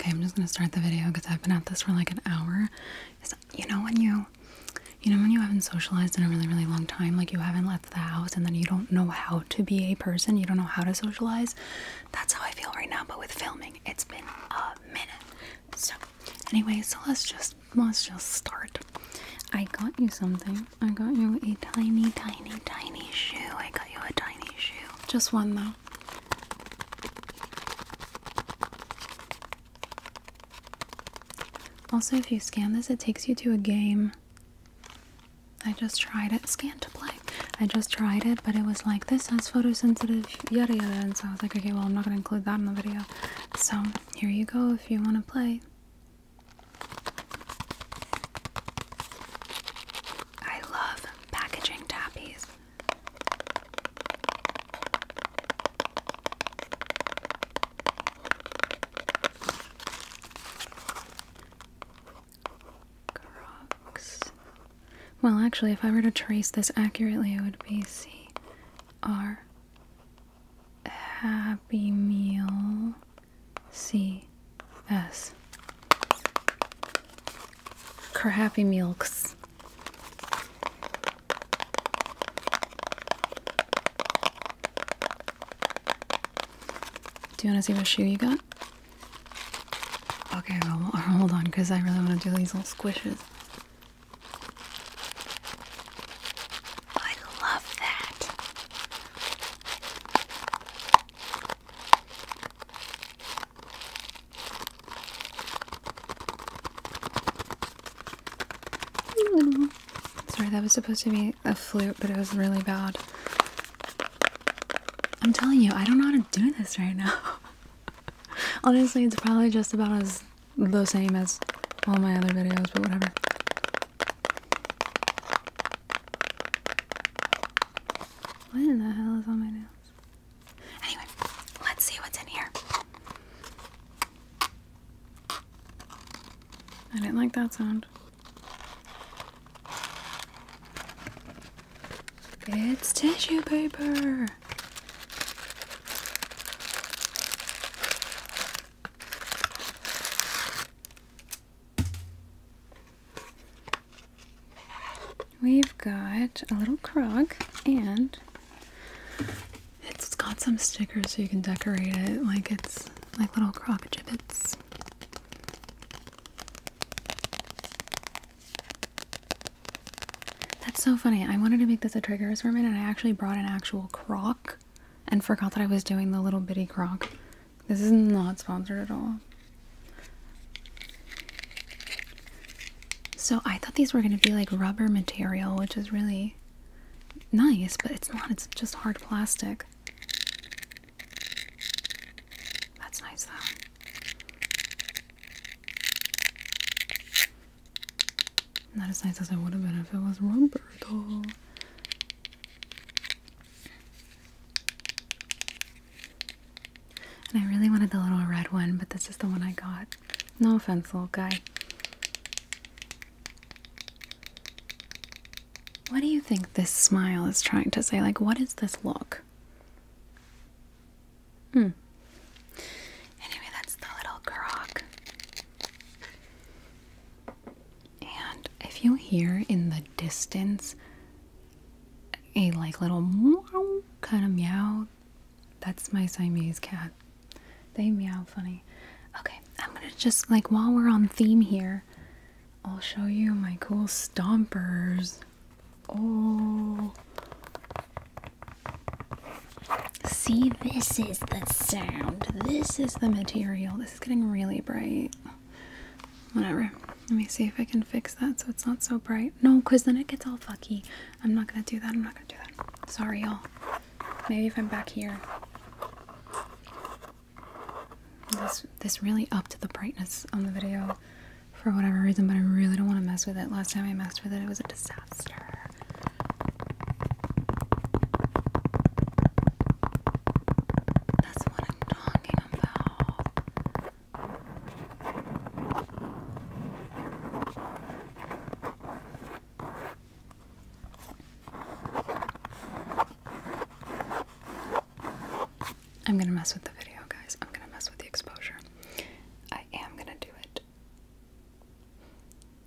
Okay, I'm just gonna start the video because I've been at this for like an hour. you know when you, you know when you haven't socialized in a really really long time, like you haven't left the house, and then you don't know how to be a person. You don't know how to socialize. That's how I feel right now. But with filming, it's been a minute. So, anyway, so let's just let's just start. I got you something. I got you a tiny tiny tiny shoe. I got you a tiny shoe. Just one though. Also, if you scan this, it takes you to a game. I just tried it. Scan to play. I just tried it, but it was like this has photosensitive yada yada, and so I was like, okay, well, I'm not gonna include that in the video. So here you go if you want to play. I love packaging tappies. Crocs. Well, actually, if I were to trace this accurately, it would be C R Happy Meal C S her milks. Do you want to see what shoe you got? Okay, hold on, because I really want to do these little squishes. I love that. Sorry, that was supposed to be a flute, but it was really bad. I'm telling you, I don't know how to do this right now. Honestly, it's probably just about as the same as all my other videos, but whatever. What in the hell is on my nails? Anyway, let's see what's in here. I didn't like that sound. It's tissue paper. We've got a little crock and it's got some stickers so you can decorate it like it's like little crock gibbets. That's so funny. I wanted to make this a trigger assortment and I actually brought an actual crock and forgot that I was doing the little bitty crock. This is not sponsored at all. So I thought these were going to be like rubber material, which is really nice, but it's not. It's just hard plastic. That's nice though. Not as nice as it would have been if it was rubber though. And I really wanted the little red one, but this is the one I got. No offense, little guy. What do you think this smile is trying to say? Like, what is this look? Hmm. Anyway, that's the little grog. And if you hear in the distance a like little meow kind of meow. That's my Siamese cat. They meow funny. Okay, I'm gonna just like while we're on theme here, I'll show you my cool stompers. Oh, see, this is the sound. This is the material. This is getting really bright. Whatever. Let me see if I can fix that so it's not so bright. No, because then it gets all fucky. I'm not going to do that. I'm not going to do that. Sorry, y'all. Maybe if I'm back here. This, this really upped the brightness on the video for whatever reason, but I really don't want to mess with it. Last time I messed with it, it was a disaster. That's what I'm talking about. I'm gonna mess with the video, guys. I'm gonna mess with the exposure. I am gonna do it.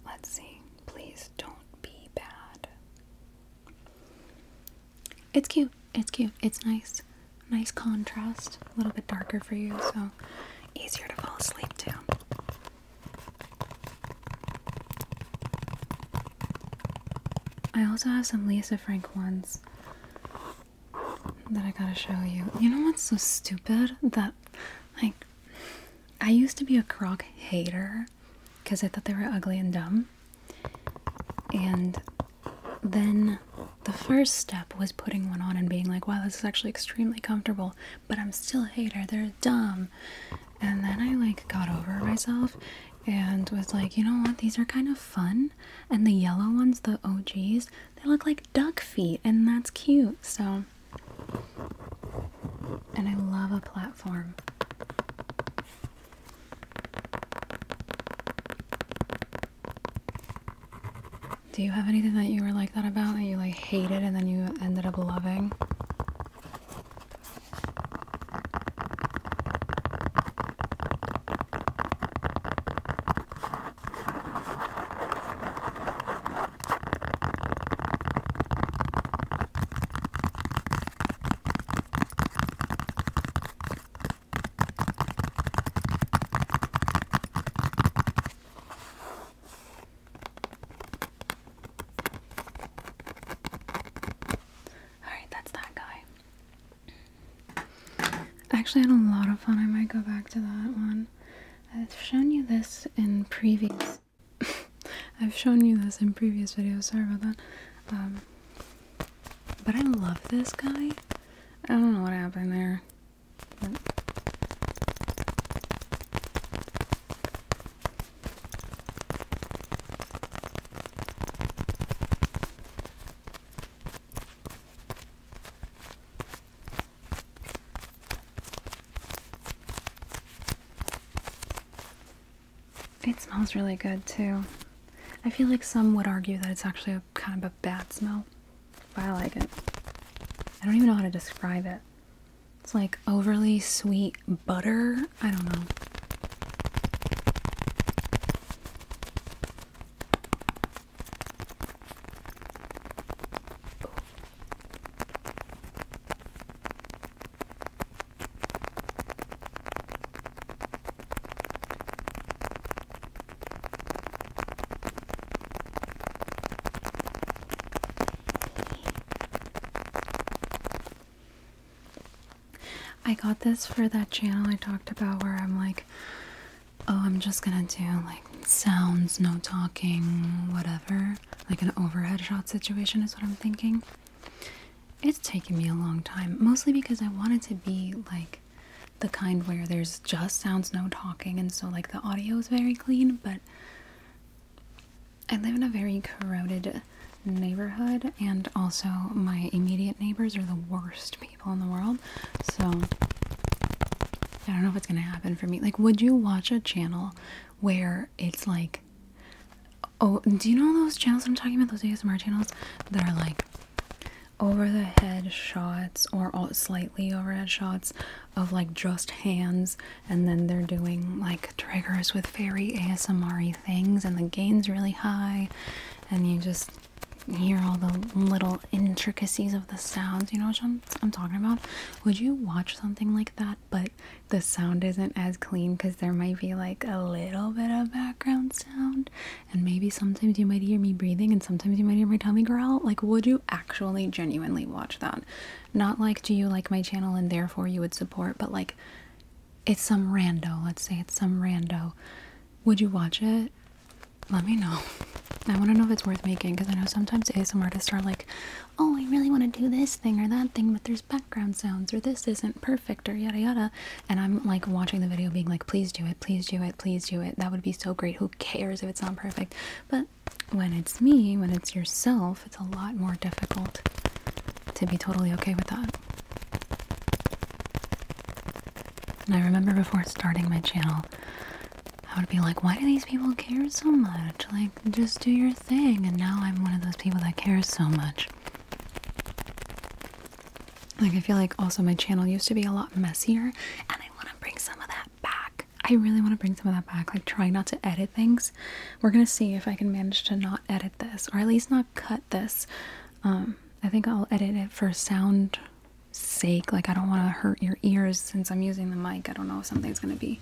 Let's see. Please don't be bad. It's cute. It's cute. It's nice. Nice contrast. A little bit darker for you, so easier to fall asleep to. I also have some Lisa Frank ones that I gotta show you. You know what's so stupid? That, like, I used to be a croc hater because I thought they were ugly and dumb. And then the first step was putting one on and being like, wow, this is actually extremely comfortable, but I'm still a hater, they're dumb. And then I like got over myself and was like, you know what, these are kind of fun. And the yellow ones, the OGs, they look like duck feet, and that's cute. So, and I love a platform. Do you have anything that you were like that about that you like hated and then you ended up loving? Alright, that's that guy. actually had a lot of fun. I might go back to that one. I've shown you this in previous I've shown you this in previous videos, sorry about that. Um, but I love this guy. I don't know what happened there. It smells really good too. I feel like some would argue that it's actually kind of a bad smell, but I like it. I don't even know how to describe it. It's like overly sweet butter. I don't know. I got this for that channel I talked about where I'm like, oh, I'm just gonna do like sounds, no talking, whatever. Like an overhead shot situation is what I'm thinking. It's taken me a long time, mostly because I wanted to be like the kind where there's just sounds, no talking, and so like the audio is very clean, but I live in a very crowded neighborhood, and also my immediate neighbors are the worst people in the world. So I don't know if it's gonna happen for me. Like, would you watch a channel where it's like, oh, do you know those channels I'm talking about? Those ASMR channels that are like, over the head shots or all, slightly overhead shots of like just hands and then they're doing like triggers with very ASMR things and the gain's really high and you just hear all the little intricacies of the sounds you know what I'm talking about would you watch something like that but the sound isn't as clean because there might be like a little bit of background sound and maybe sometimes you might hear me breathing and sometimes you might hear my tummy growl like would you actually genuinely watch that not like do you like my channel and therefore you would support but like it's some rando let's say it's some rando would you watch it let me know i want to know if it's worth making because i know sometimes asmr artists are like oh i really want to do this thing or that thing but there's background sounds or this isn't perfect or yada yada and I'm like watching the video being like please do it please do it please do it that would be so great who cares if it's not perfect but when it's me when it's yourself it's a lot more difficult to be totally okay with that and I remember before starting my channel I would be like why do these people care so much like just do your thing and now I'm one of those people that cares so much like, I feel like also my channel used to be a lot messier, and I want to bring some of that back. I really want to bring some of that back. Like, try not to edit things. We're going to see if I can manage to not edit this, or at least not cut this. Um, I think I'll edit it for sound sake. Like, I don't want to hurt your ears since I'm using the mic. I don't know if something's going to be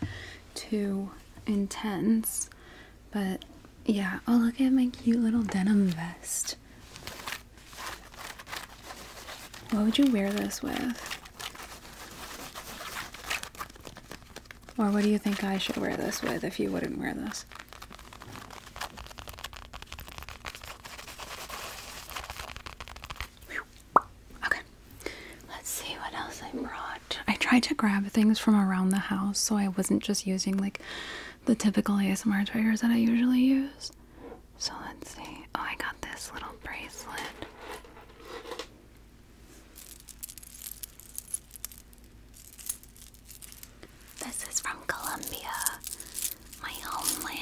too intense. But yeah, oh, look at my cute little denim vest. What would you wear this with? Or what do you think I should wear this with if you wouldn't wear this? Okay, let's see what else I brought. I tried to grab things from around the house so I wasn't just using like the typical ASMR triggers that I usually use. So let's see. Oh, I got this little bracelet. This is from Colombia, my homeland.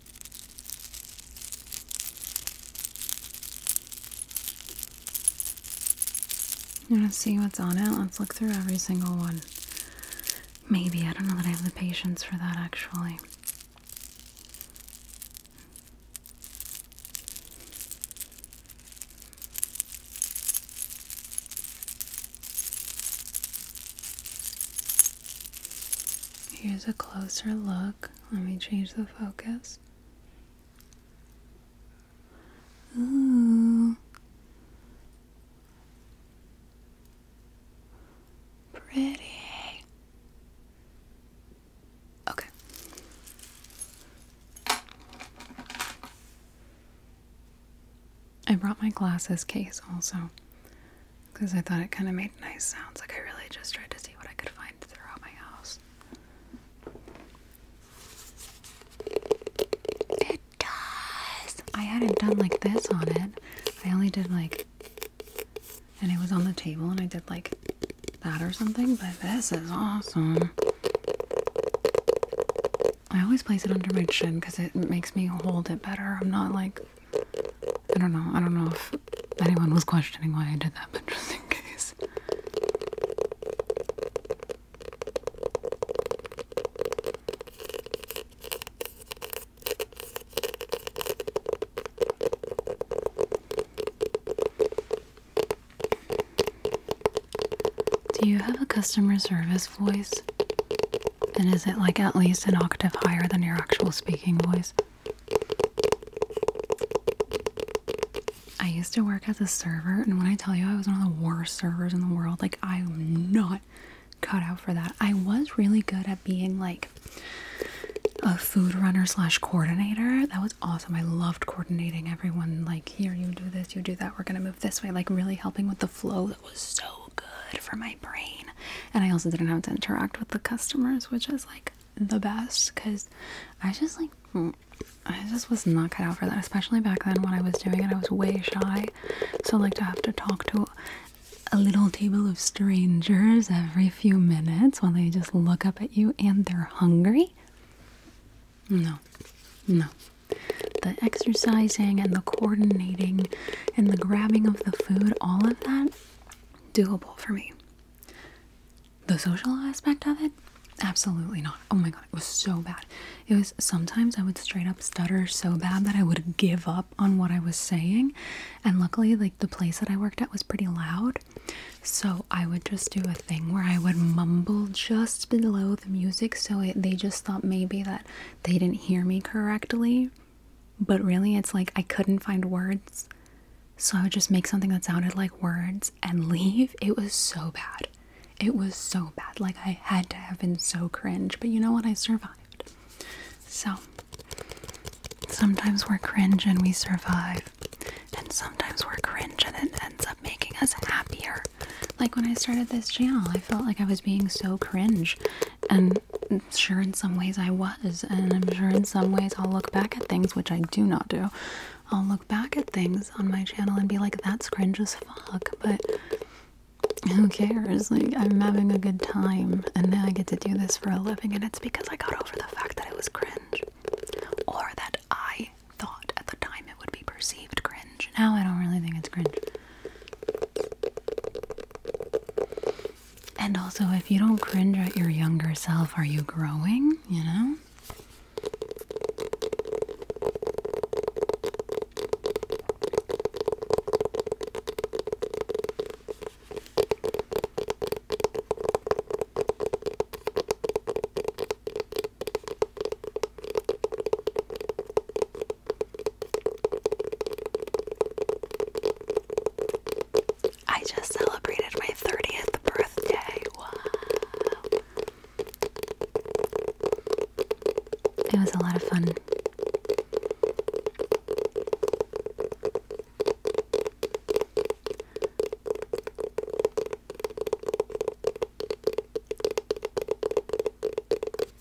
Let's see what's on it? Let's look through every single one. Maybe. I don't know that I have the patience for that actually. Here's a closer look. Let me change the focus. Ooh. Pretty. Okay. I brought my glasses case also because I thought it kind of made nice sounds. Like, I really just tried to see what I could find throughout my house. It does! I hadn't done like this on it. I only did like, and it was on the table, and I did like that or something, but this is awesome. I always place it under my chin because it makes me hold it better. I'm not like I don't know. I don't know if anyone was questioning why I did that, but just in case. Do you have a customer service voice? And is it like at least an octave higher than your actual speaking voice? I used to work as a server, and when I tell you I was one of the worst servers in the world, like I'm not cut out for that. I was really good at being like a food runner slash coordinator. That was awesome. I loved coordinating everyone. Like here, you do this, you do that. We're gonna move this way. Like really helping with the flow. That was so good for my brain and I also didn't have to interact with the customers, which is like the best because I just like mm, I just was not cut out for that, especially back then when I was doing it. I was way shy, so like to have to talk to a little table of strangers every few minutes while they just look up at you and they're hungry. No, no. The exercising and the coordinating and the grabbing of the food, all of that, doable for me. The social aspect of it? Absolutely not. Oh my god, it was so bad. It was sometimes I would straight up stutter so bad that I would give up on what I was saying. And luckily, like the place that I worked at was pretty loud. So I would just do a thing where I would mumble just below the music so it, they just thought maybe that they didn't hear me correctly. But really, it's like I couldn't find words, so I would just make something that sounded like words and leave. It was so bad. It was so bad. Like, I had to have been so cringe, but you know what? I survived. So, sometimes we're cringe and we survive, and sometimes we're cringe and it ends up making us happier. Like, when I started this channel, I felt like I was being so cringe, and sure in some ways I was, and I'm sure in some ways I'll look back at things, which I do not do. I'll look back at things on my channel and be like, that's cringe as fuck, but who cares? Like, I'm having a good time, and now I get to do this for a living, and it's because I got over the fact that it was cringe, or that I thought at the time it would be perceived cringe. Now I don't really think it's cringe. And also, if you don't cringe at your younger self, are you growing? You know? I just celebrated my 30th birthday. Wow. It was a lot of fun.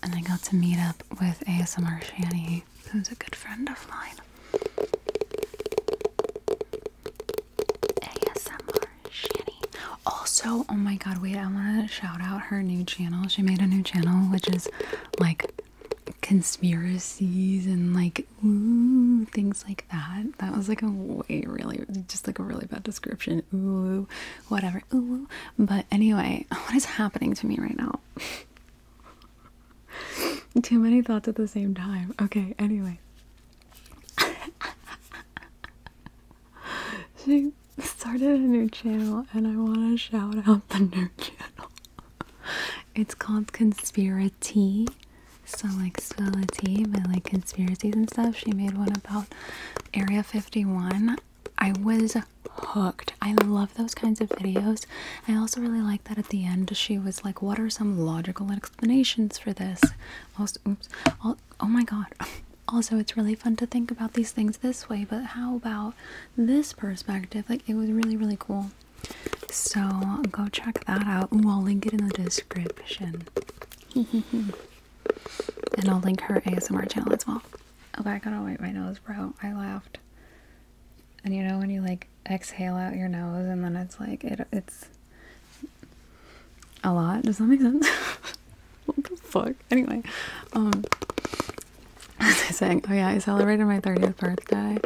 And I got to meet up with ASMR Shanny who's a good friend of mine. ASMR Shanny. Also, oh my god, wait, I want to shout out her new channel. She made a new channel which is like conspiracies and like ooh things like that. That was like a way really just like a really bad description. Ooh, whatever. Ooh. But anyway, what is happening to me right now? Too many thoughts at the same time. Okay, anyway. she started a new channel and I want to shout out the new channel. it's called Conspiracy. So, like, spell a T, but like conspiracies and stuff. She made one about Area 51. I was hooked. I love those kinds of videos. I also really like that at the end she was like, What are some logical explanations for this? Also, oops, oh my god. Also, it's really fun to think about these things this way, but how about this perspective? Like, it was really, really cool. So, go check that out. we will link it in the description. and I'll link her ASMR channel as well. Okay, I gotta wipe my nose, bro. I laughed and you know when you like exhale out your nose and then it's like it, it's a lot does that make sense what the fuck anyway um what was i saying oh yeah i celebrated my 30th birthday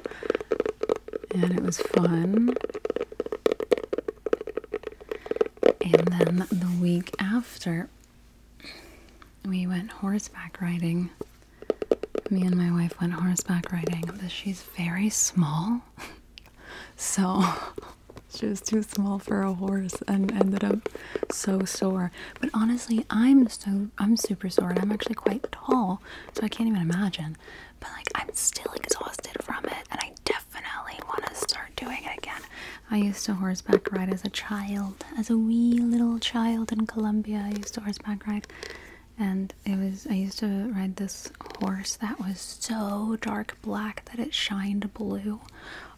and it was fun and then the week after we went horseback riding me and my wife went horseback riding, but she's very small. so she was too small for a horse and ended up so sore. But honestly, I'm so I'm super sore and I'm actually quite tall, so I can't even imagine. But like I'm still exhausted from it and I definitely want to start doing it again. I used to horseback ride as a child, as a wee little child in Colombia. I used to horseback horseback ride and it was i used to ride this horse that was so dark black that it shined blue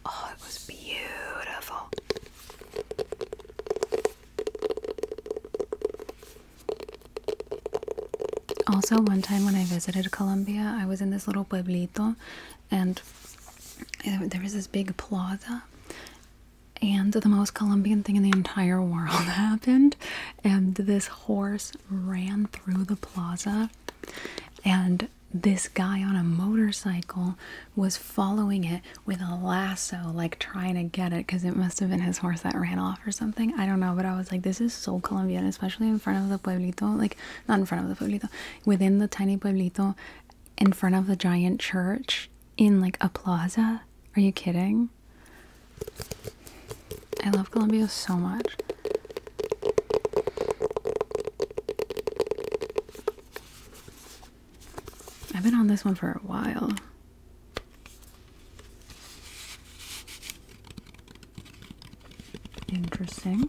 oh it was beautiful also one time when i visited colombia i was in this little pueblito and uh, there was this big plaza and the most Colombian thing in the entire world happened. And this horse ran through the plaza, and this guy on a motorcycle was following it with a lasso, like trying to get it because it must have been his horse that ran off or something. I don't know, but I was like, this is so Colombian, especially in front of the pueblito, like not in front of the pueblito, within the tiny pueblito in front of the giant church in like a plaza? Are you kidding? I love Colombia so much. I've been on this one for a while. Interesting.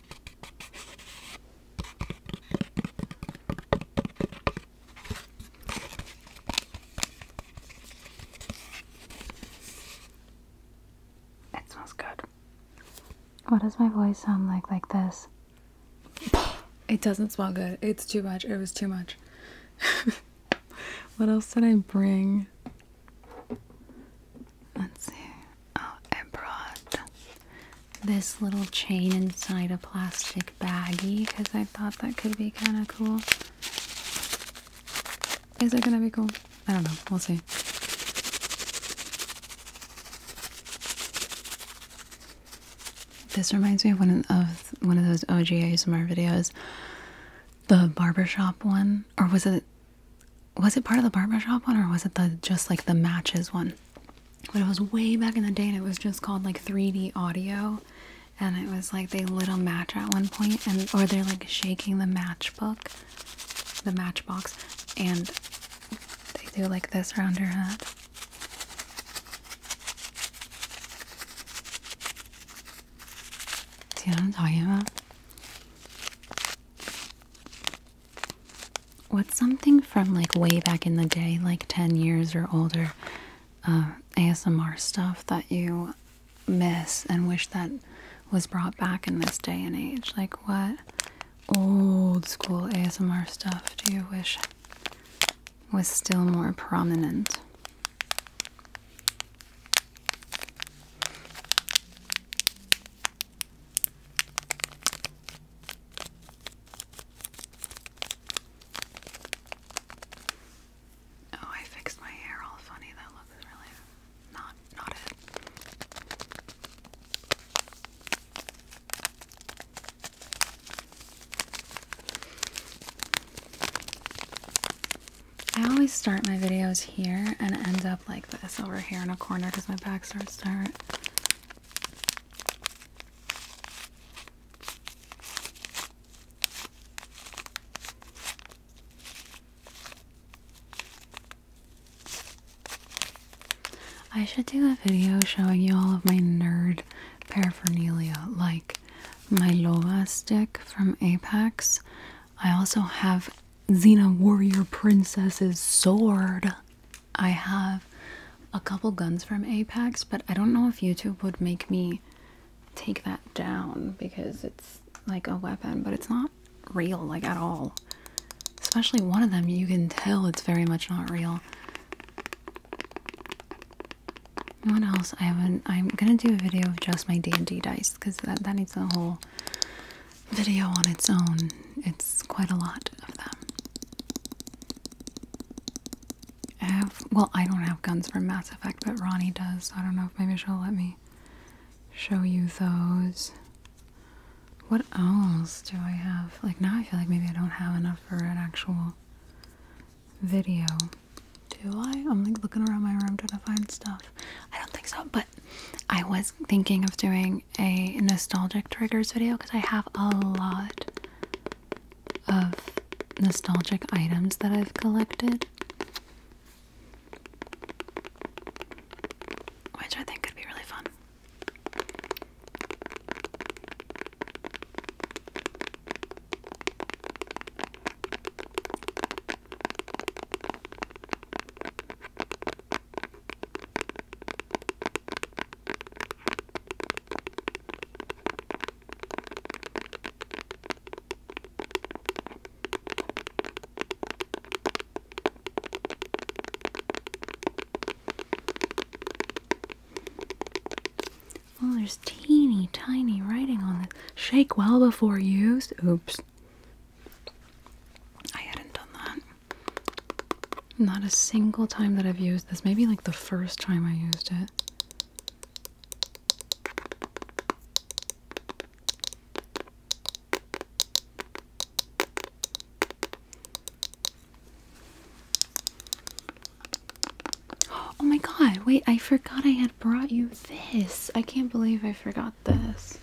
It smells good. What does my voice sound like like this? It doesn't smell good. It's too much. It was too much. what else did I bring? Let's see. Oh, I brought this little chain inside a plastic baggie because I thought that could be kind of cool. Is it gonna be cool? I don't know. We'll see. This reminds me of one of one of those OG ASMR videos, the barbershop one, or was it? Was it part of the barbershop one, or was it the just like the matches one? but it was way back in the day and it was just called like 3D audio and it was like they lit a match at one point and or they're like shaking the matchbook the matchbox and they do like this around her head see what I'm talking about What's something from like way back in the day, like 10 years or older, uh, ASMR stuff that you miss and wish that was brought back in this day and age? Like, what old school ASMR stuff do you wish was still more prominent? Oh, I fixed my hair all funny. That looks really not not it. I always start my videos here and end up like this over here in a corner because my back starts to hurt. I should do a video showing you all of my nerd paraphernalia, like my Lola stick from Apex. I also have Xena Warrior Princess's sword. I have a couple guns from Apex, but I don't know if YouTube would make me take that down because it's like a weapon, but it's not real, like at all. Especially one of them, you can tell it's very much not real. What else? I haven't. am gonna do a video of just my D and D dice because that that needs a whole video on its own it's quite a lot of them. I have, well, I don't have guns from Mass Effect, but Ronnie does. I don't know if maybe she'll let me show you those. What else do I have? Like, now I feel like maybe I don't have enough for an actual video. Do I? I'm like looking around my room trying to find stuff. I don't think so, but I was thinking of doing a nostalgic triggers video because I have a lot of nostalgic items that I've collected. Which I think could be really fun. Oh, there's teeny tiny writing on this. Shake well before use. Oops. I hadn't done that. Not a single time that I've used this. Maybe like the first time I used it. Oh my god, wait, I forgot I had brought you this. I can't believe I forgot this.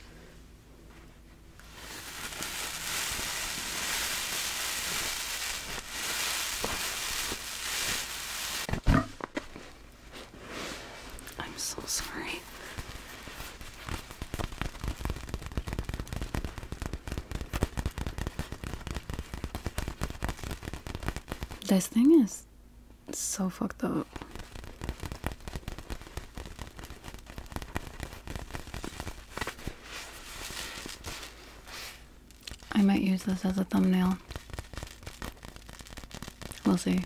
I'm so sorry. This thing is so fucked up. I might use this as a thumbnail. We'll see.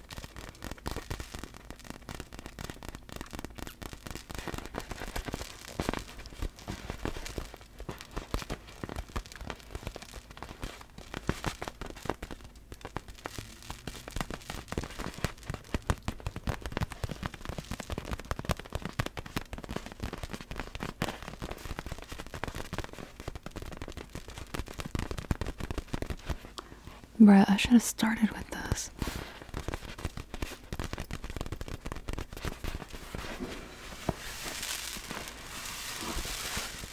Bruh, I should have started with this.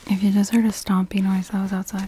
If you just heard a stompy noise, that was outside.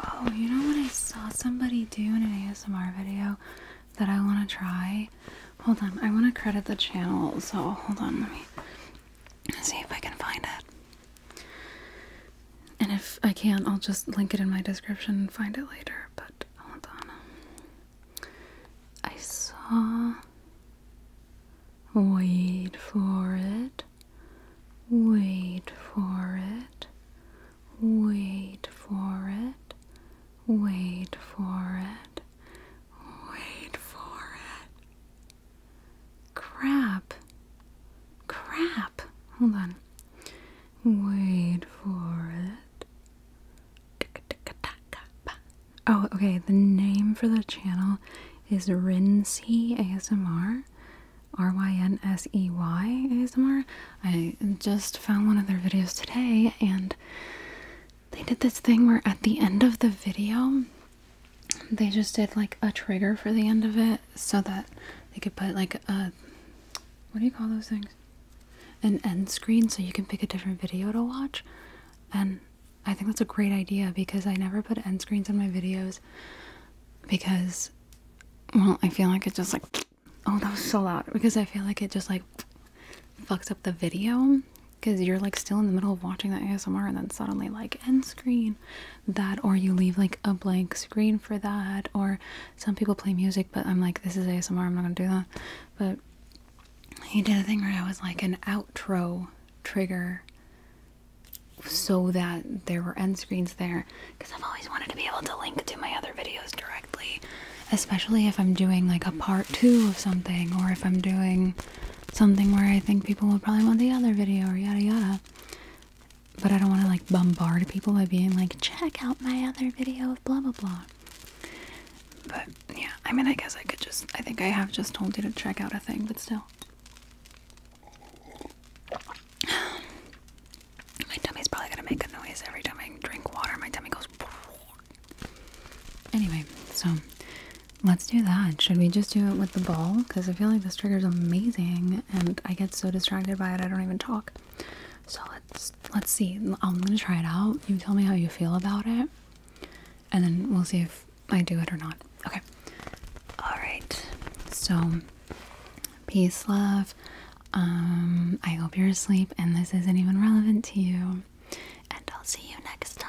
Oh, you know what I saw somebody do in an ASMR video that I want to try? Hold on, I want to credit the channel, so hold on, let me see if I can find it. And if I can't, I'll just link it in my description and find it later, but hold on. I saw Wait for it. Wait for it. Wait for it. Wait for it. Wait for it. Crap. Crap. Hold on. Wait for it. Oh, okay. The name for the channel is Rinsey ASMR. R Y N S E Y ASMR. I just found one of their videos today and they did this thing where at the end of the video they just did like a trigger for the end of it so that they could put like a what do you call those things? An end screen so you can pick a different video to watch. And I think that's a great idea because I never put end screens in my videos because, well, I feel like it just like, oh, that was so loud. Because I feel like it just like fucks up the video because you're like still in the middle of watching that ASMR and then suddenly like end screen that or you leave like a blank screen for that or some people play music but I'm like this is ASMR I'm not gonna do that but he did a thing where it was like an outro trigger so that there were end screens there because I've always wanted to be able to link to my other videos directly, especially if I'm doing like a part two of something or if I'm doing something where I think people will probably want the other video or yada yada. But I don't want to like bombard people by being like, check out my other video of blah blah blah. But yeah, I mean, I guess I could just. I think I have just told you to check out a thing, but still. My tummy's probably gonna make a noise every time I drink water. My tummy goes. Anyway, so let's do that. Should we just do it with the ball? Because I feel like this trigger's amazing, and I get so distracted by it I don't even talk. So let's let's see. I'm gonna try it out. You tell me how you feel about it, and then we'll see if I do it or not. Okay. Alright. So, peace, love. Um, I hope you're asleep and this isn't even relevant to you. And I'll see you next time.